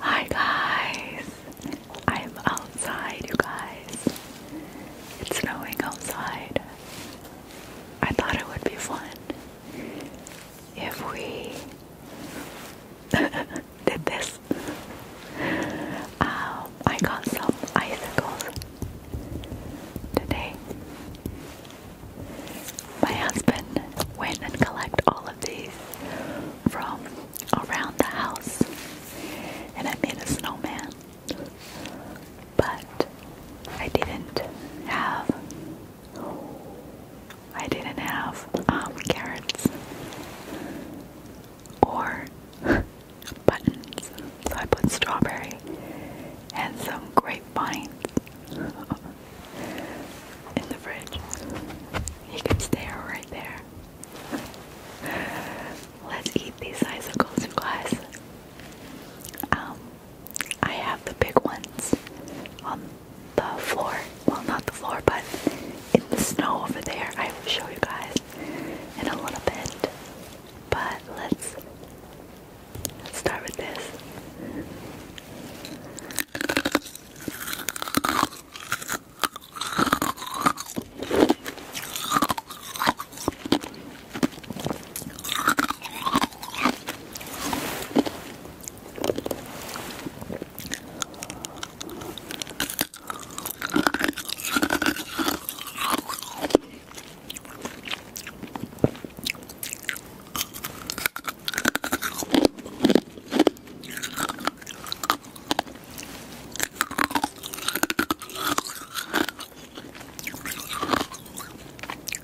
Hi guys, I'm outside, you guys. It's snowing outside. I thought it would be fun if we did this. Um, I got some icicles Today, my husband went and collected all of these from around the house, and I made a snowman. But I didn't have I didn't have um, carrots or buttons. So I put strawberry and some grapevines in the fridge. You can stare right there. Let's eat these icicles, you guys. Um, I have the big ones on the floor. Well, not the floor, but in the snow over there. I will show you guys in a little bit. But let's start with this.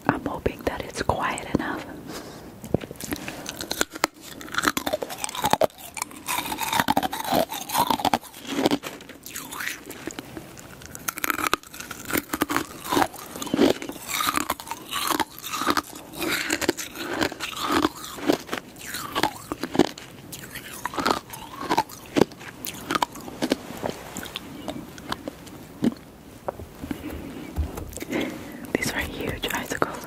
I'm hoping that it's quiet enough. These are huge icicles.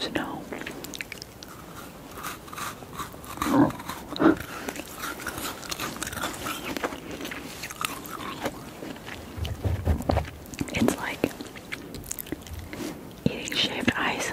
Snow. It's like eating shaved ice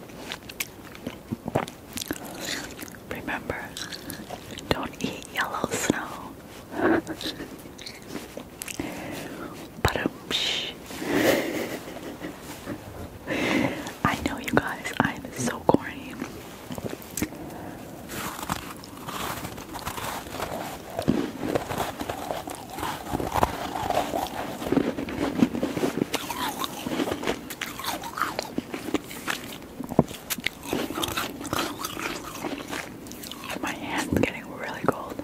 Remember, don't eat yellow snow. but um, I know you guys, I'm so corny. My hand's getting really cold.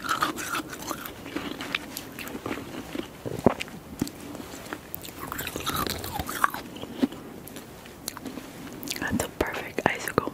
That's a perfect icicle.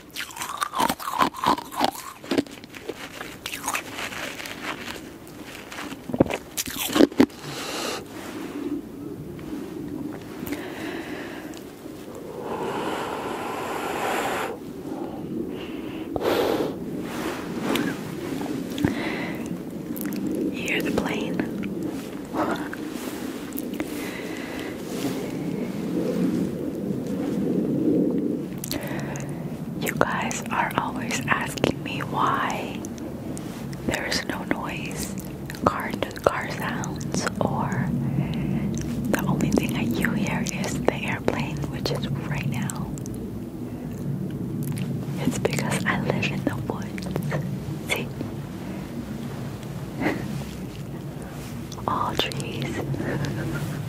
You hear the plane? You guys are always asking me why there is no noise, car car sounds, or the only thing that you hear is the airplane, which is right now. It's because I live in the woods. See? All trees.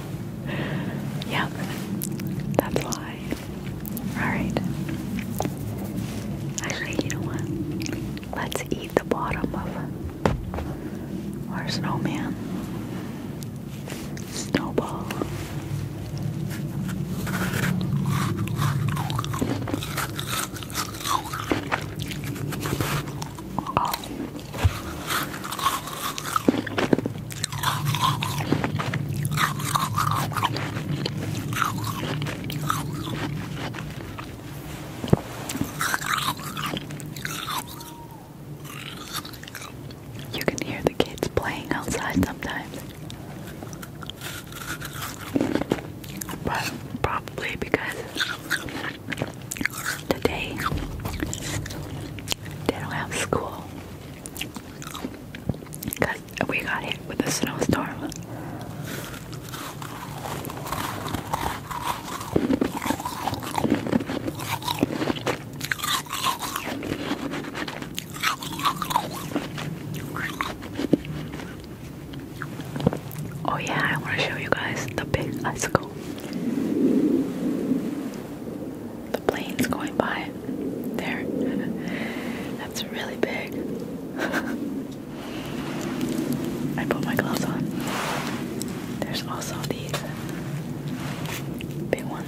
yep, that's why. Alright. Actually, you know what? Let's eat the bottom of our snowman. Snowball. You can hear the kids playing outside sometimes. But probably because today they don't have school. Cause we got hit with a snowstorm. Oh yeah, I want to show you guys the big ice go. The plane's going by. There. That's really big. I put my gloves on. There's also these big ones.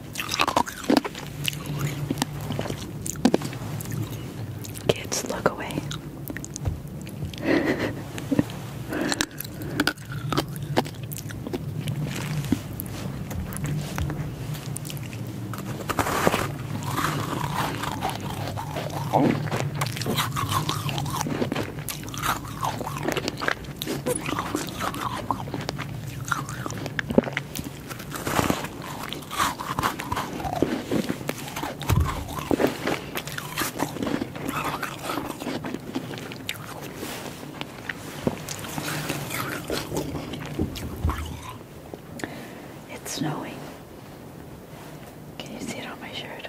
Kids, look away. It's snowing. Can you see it on my shirt?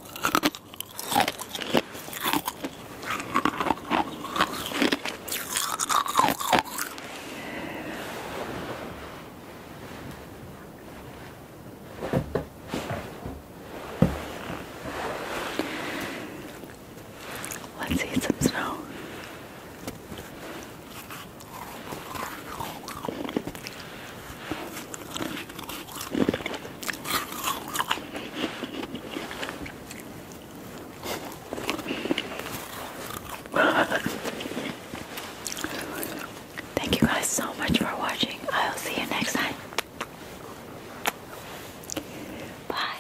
Let's eat some snow. Thank you guys so much for watching. I'll see you next time. Bye.